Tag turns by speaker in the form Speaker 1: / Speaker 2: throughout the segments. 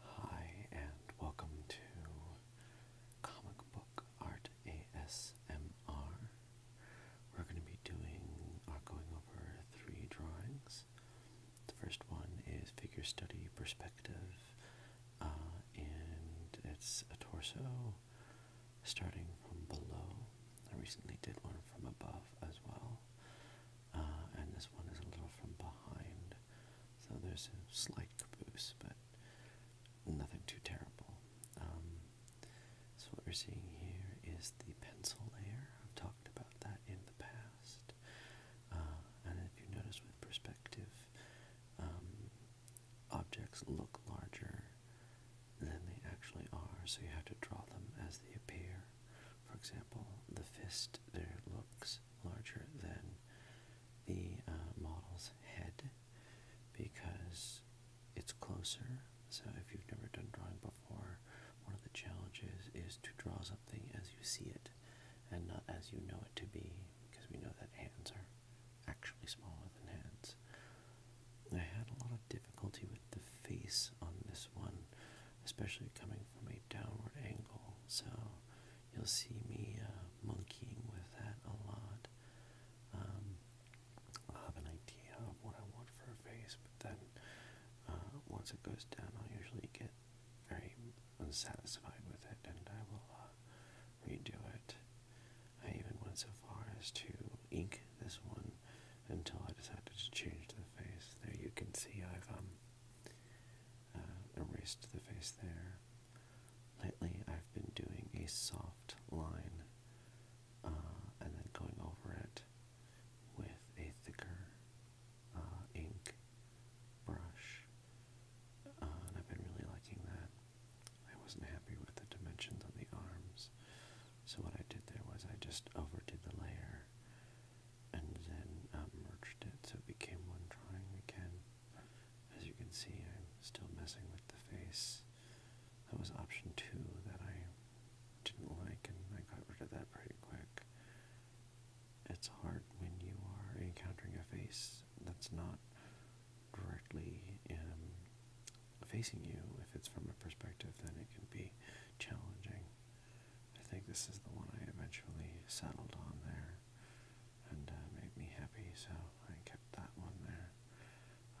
Speaker 1: Hi, and welcome to Comic Book Art ASMR. We're going to be doing, or uh, going over three drawings. The first one is Figure Study Perspective, uh, and it's a torso starting from below. I recently did one from above as well, uh, and this one is a little from behind, so there's a slight caboose, but nothing too terrible. Um, so what we're seeing here is the pencil layer. I've talked about that in the past, uh, and if you notice with perspective, um, objects look larger than they actually are, so you have to draw them as they appear. For example, the fist there looks larger than the uh, model's head because it's closer. So, if you've never done drawing before, one of the challenges is to draw something as you see it and not as you know it to be because we know that hands are actually smaller than heads. I had a lot of difficulty with the face on this one, especially coming from a downward angle, so you'll see me uh, monkeying with that a lot. Um, I'll have an idea of what I want for a face, but then uh, once it goes down, I'll usually get very unsatisfied with it and I will uh, redo it. I even went so far as to ink this one until I decided to change the face. There you can see I've um, uh, erased the face there. Lately I've been doing a soft line uh, and then going over it with a thicker uh, ink brush. and I've been really liking that. I wasn't happy with the dimensions on the arms, so what I did there was I just overdid the layer and then uh, merged it so it became one drawing again. As you can see, I'm still messing with the face. That was option two that I didn't like, and I got rid of that pretty quick. It's hard when you are encountering a face that's not directly um, facing you. If it's from a perspective, then it can be challenging. I think this is the one I eventually settled on there, and uh, made me happy. So I kept that one there.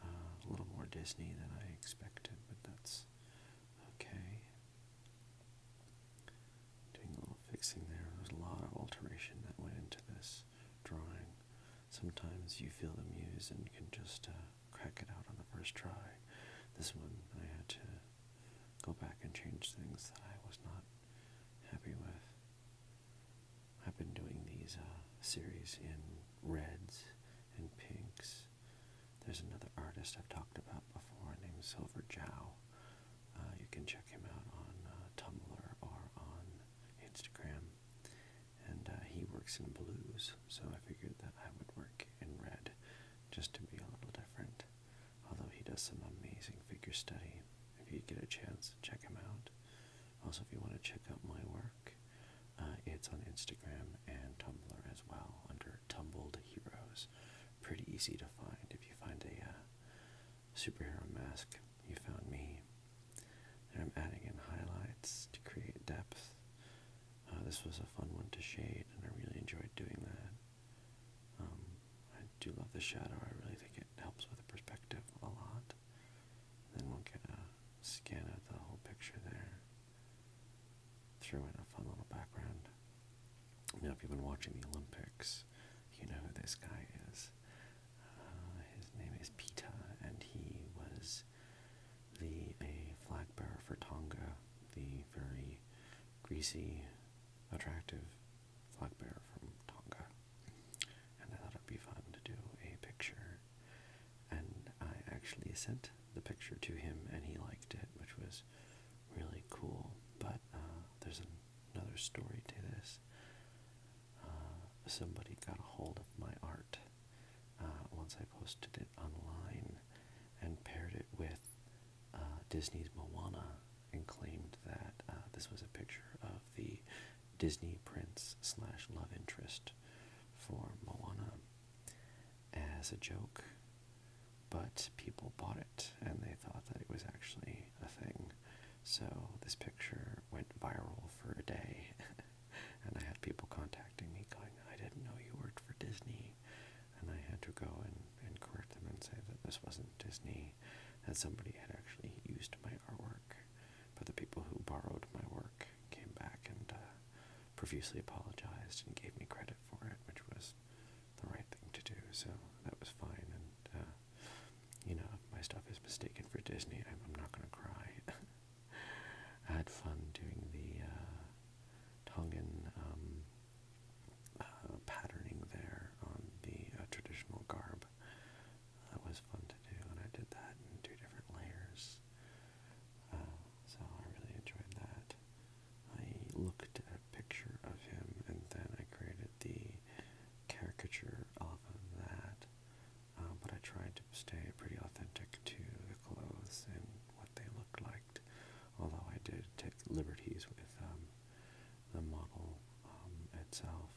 Speaker 1: Uh, a little more Disney than I expected, but that's okay. Doing a little fixing there. There's a lot of alteration that went into this drawing. Sometimes you feel the muse and can just uh, crack it out on the first try. This one I had to go back and change things that I was not happy with. I've been doing these uh, series in reds and pinks. There's another artist I've talked about before named Silver Jow uh, you can check him out on uh, Tumblr or on Instagram. And uh, he works in blues, so I figured that I would work in red just to be a little different. Although he does some amazing figure study. If you get a chance, check him out. Also, if you want to check out my work, uh, it's on Instagram and Tumblr as well under Tumbled Heroes pretty easy to find. If you find a uh, superhero mask, you found me. I'm adding in highlights to create depth. Uh, this was a fun one to shade, and I really enjoyed doing that. Um, I do love the shadow. I really think it helps with the perspective a lot. then we'll get a scan of the whole picture there. Throw in a fun little background. Now, if you've been watching the Olympics, you know who this guy is. Uh, his name is Pita, and he was the a flag bearer for Tonga, the very greasy, attractive flag bearer from Tonga. And I thought it'd be fun to do a picture. And I actually sent the picture to him, and he liked it, which was really cool. But uh, there's another story to this. Uh, somebody got a hold of my art uh, once I posted it online and paired it with Disney's Moana and claimed that this was a picture of the Disney prince slash love interest for Moana as a joke, but people bought it and they thought that it was actually a thing. So this picture went viral for a day, and I had people contacting me going, I didn't know you worked for Disney. And I had to go and, and correct them and say that this wasn't Disney, that somebody had actually used my artwork. But the people who borrowed my work came back and uh, profusely apologized and gave me credit for it, which was the right thing to do, so that was fine. And uh, you know, if my stuff is mistaken for Disney, I'm, not gonna cry. I had fun doing the uh, Tongan um, uh, patterning there on the traditional garb. That was fun to do, and I did that in two different layers. Uh, so I really enjoyed that. I looked at a picture of him and then I created the caricature off of that. Uh, but I tried to stay pretty authentic to the clothes and what they looked like, although I did take liberties with um, the model um, itself.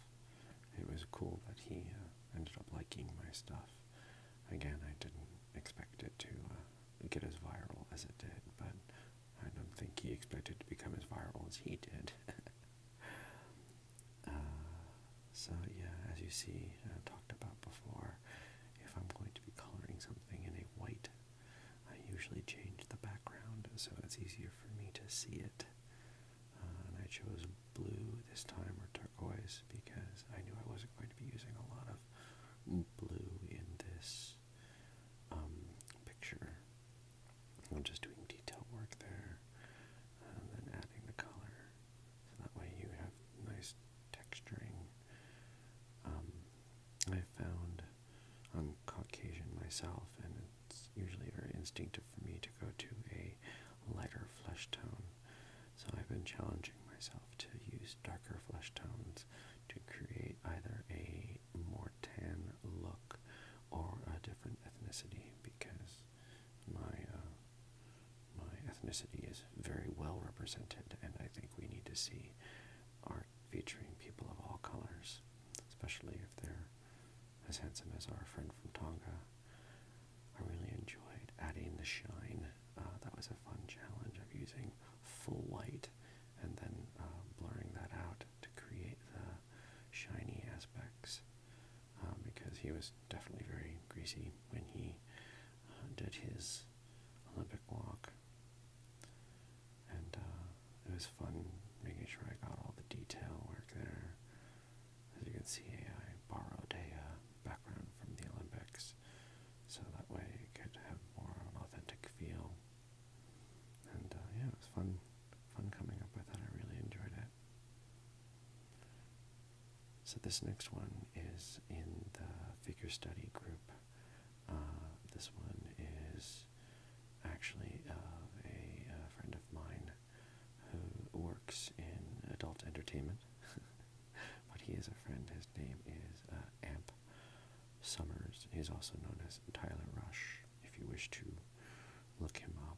Speaker 1: It was cool that he uh, ended up liking my stuff. Again, I didn't expect it to get as viral as it did, but I don't think he expected to become as viral as he did. uh, so, yeah, as you see, I uh, talked about before, if I'm going to be coloring something in a white, I usually change the background so it's easier for me to see it. Uh, and I chose blue this time or turquoise because I knew I wasn't going to be using a lot of blue in this um, picture. I'm just doing detail work there and then adding the color so that way you have nice texturing. Um, I found I'm Caucasian myself and it's usually very instinctive for me to go to a lighter flesh tone so I've been challenging myself to use darker flesh tones to create either a more tan look or a different ethnicity because my uh, my ethnicity is very well represented and I think we need to see art featuring people of all colors, especially if they're as handsome as our friend from Tonga I really enjoyed adding the shine. Uh, that was a fun challenge of using full light, and then uh, blurring that out to create the shiny aspects um, because he was definitely very greasy when he uh, did his Olympic walk. And it was fun making sure I got all the detail work there. As you can see, I borrowed a uh, background from the Olympics, so that way it could have more of an authentic feel. And uh, yeah, it was fun, fun coming up with that. I really enjoyed it. So this next one is in the figure study group. Uh, this one is actually a friend of mine who works in adult entertainment. but he is a friend. His name is uh, Amp Summers. He's also known as Tyler Rush, if you wish to look him up.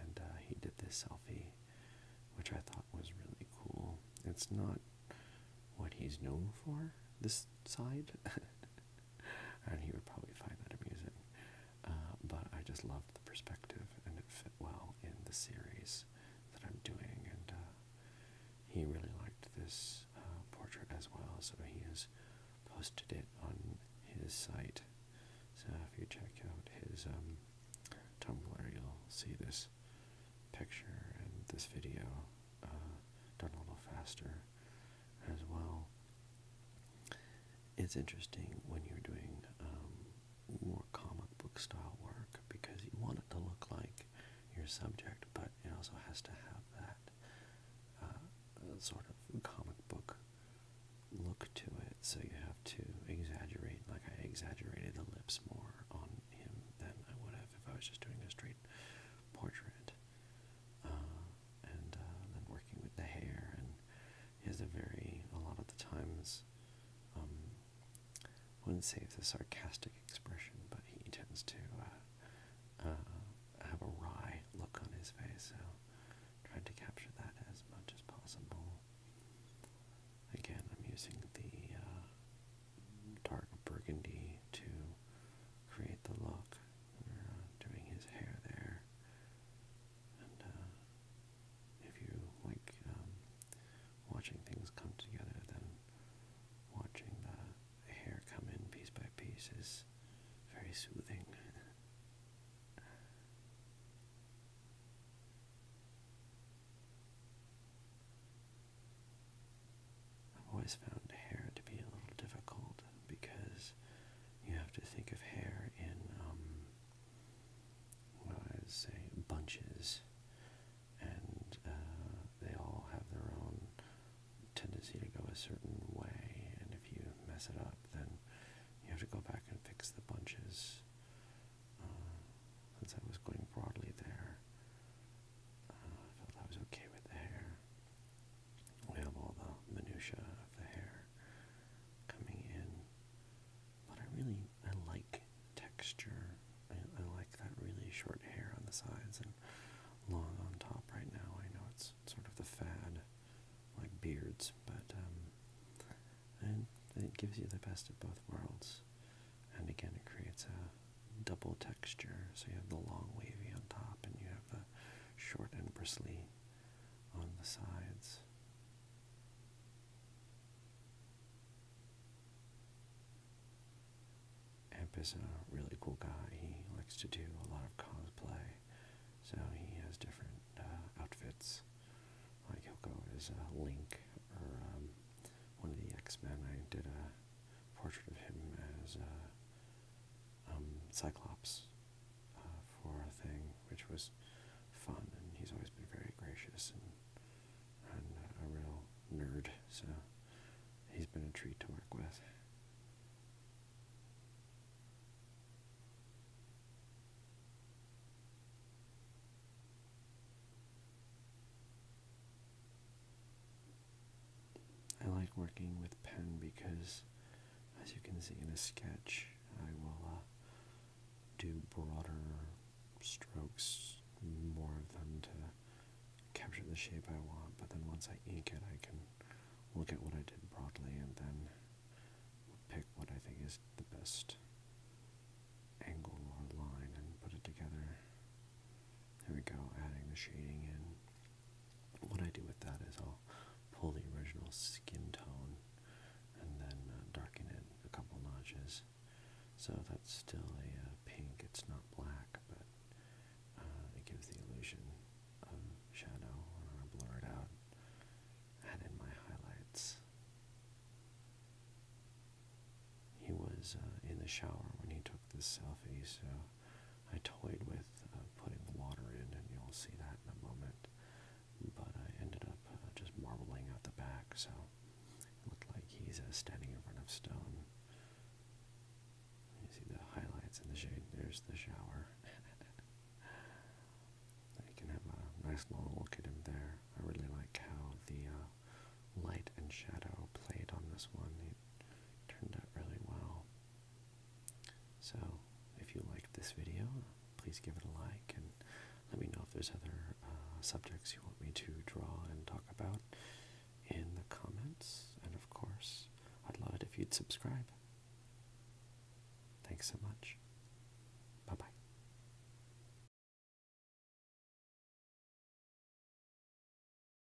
Speaker 1: And uh, he did this selfie, which I thought was really cool. It's not what he's known for, this side. and he would probably find that amusing. Uh, but I just loved the perspective, and it well in the series that I'm doing, and uh, he really liked this uh, portrait as well, so he has posted it on his site. So if you check out his um, Tumblr, you'll see this picture and this video uh, done a little faster as well. It's interesting when you're doing um, more comic book style work because you want it to look like your subject, but it also has to have that uh, uh, sort of comic book look to it. So you have to exaggerate, like I exaggerated the lips more on him than I would have if I was just doing a straight portrait. Uh, and then working with the hair and he a very, a lot of the times, I um, wouldn't say it's a sarcastic expression, but he tends to uh, uh, have a wry look on his face, so trying to capture that as much as possible. Again, I'm using the uh, dark burgundy to create the look. We're uh, doing his hair there. Uh, if you like um, watching things come together, then watching the hair come in piece by piece is very soothing. I've always found hair to be a little difficult because you have to think of hair in um, what I say, bunches, and uh, they all have their own tendency to go a certain way, and if you mess it up, then you have to go back and fix the bunches. Um, I was going broadly there, uh, I felt I was okay with the hair. We have all the minutiae of the hair coming in. But I really I like texture. I, like that really short hair on the sides and long on top right now. I know it's sort of the fad, like beards, but um, and it gives you the best of both worlds. And again, it creates a double texture. So you have the long wavy on top, and you have the short and bristly on the sides. Amp is a really cool guy. He likes to do a lot of cosplay, so he has different uh, outfits. Like he'll go as a uh, Link or um, one of the X Men. I did a portrait of him as uh, um, Cyclops uh, for a thing, which was fun, and he's always been very gracious and, and a real nerd, so he's been a treat to work with. I like working with pen because, as you can see in a sketch, I will uh, do broader strokes, more of them to capture the shape I want. But then once I ink it, I can look at what I did broadly and then pick what I think is the best angle or line and put it together. There we go, adding the shading in what I do with that is I'll pull the original skin tone and then uh, darken it a couple notches. So that's still a uh, pink, it's not black, but uh, it gives the illusion of shadow. I want to blur it out, add my highlights. He was in the shower when he took this selfie, so I toyed with uh, putting the water in, and you'll see that in a moment. But I ended up uh, just marbling out the back, so it looked like he's uh, standing in front of stone. You see the highlights in the shade. There's the shower. you can have a nice long look at him there. I really like how the light and shadow played on this one. It turned out really well. So, if you liked this video, please give it a like and let me know if there's other uh, subjects you want me to draw and talk about in the comments. And of course, I'd love it if you'd subscribe. Thanks so much. Bye bye.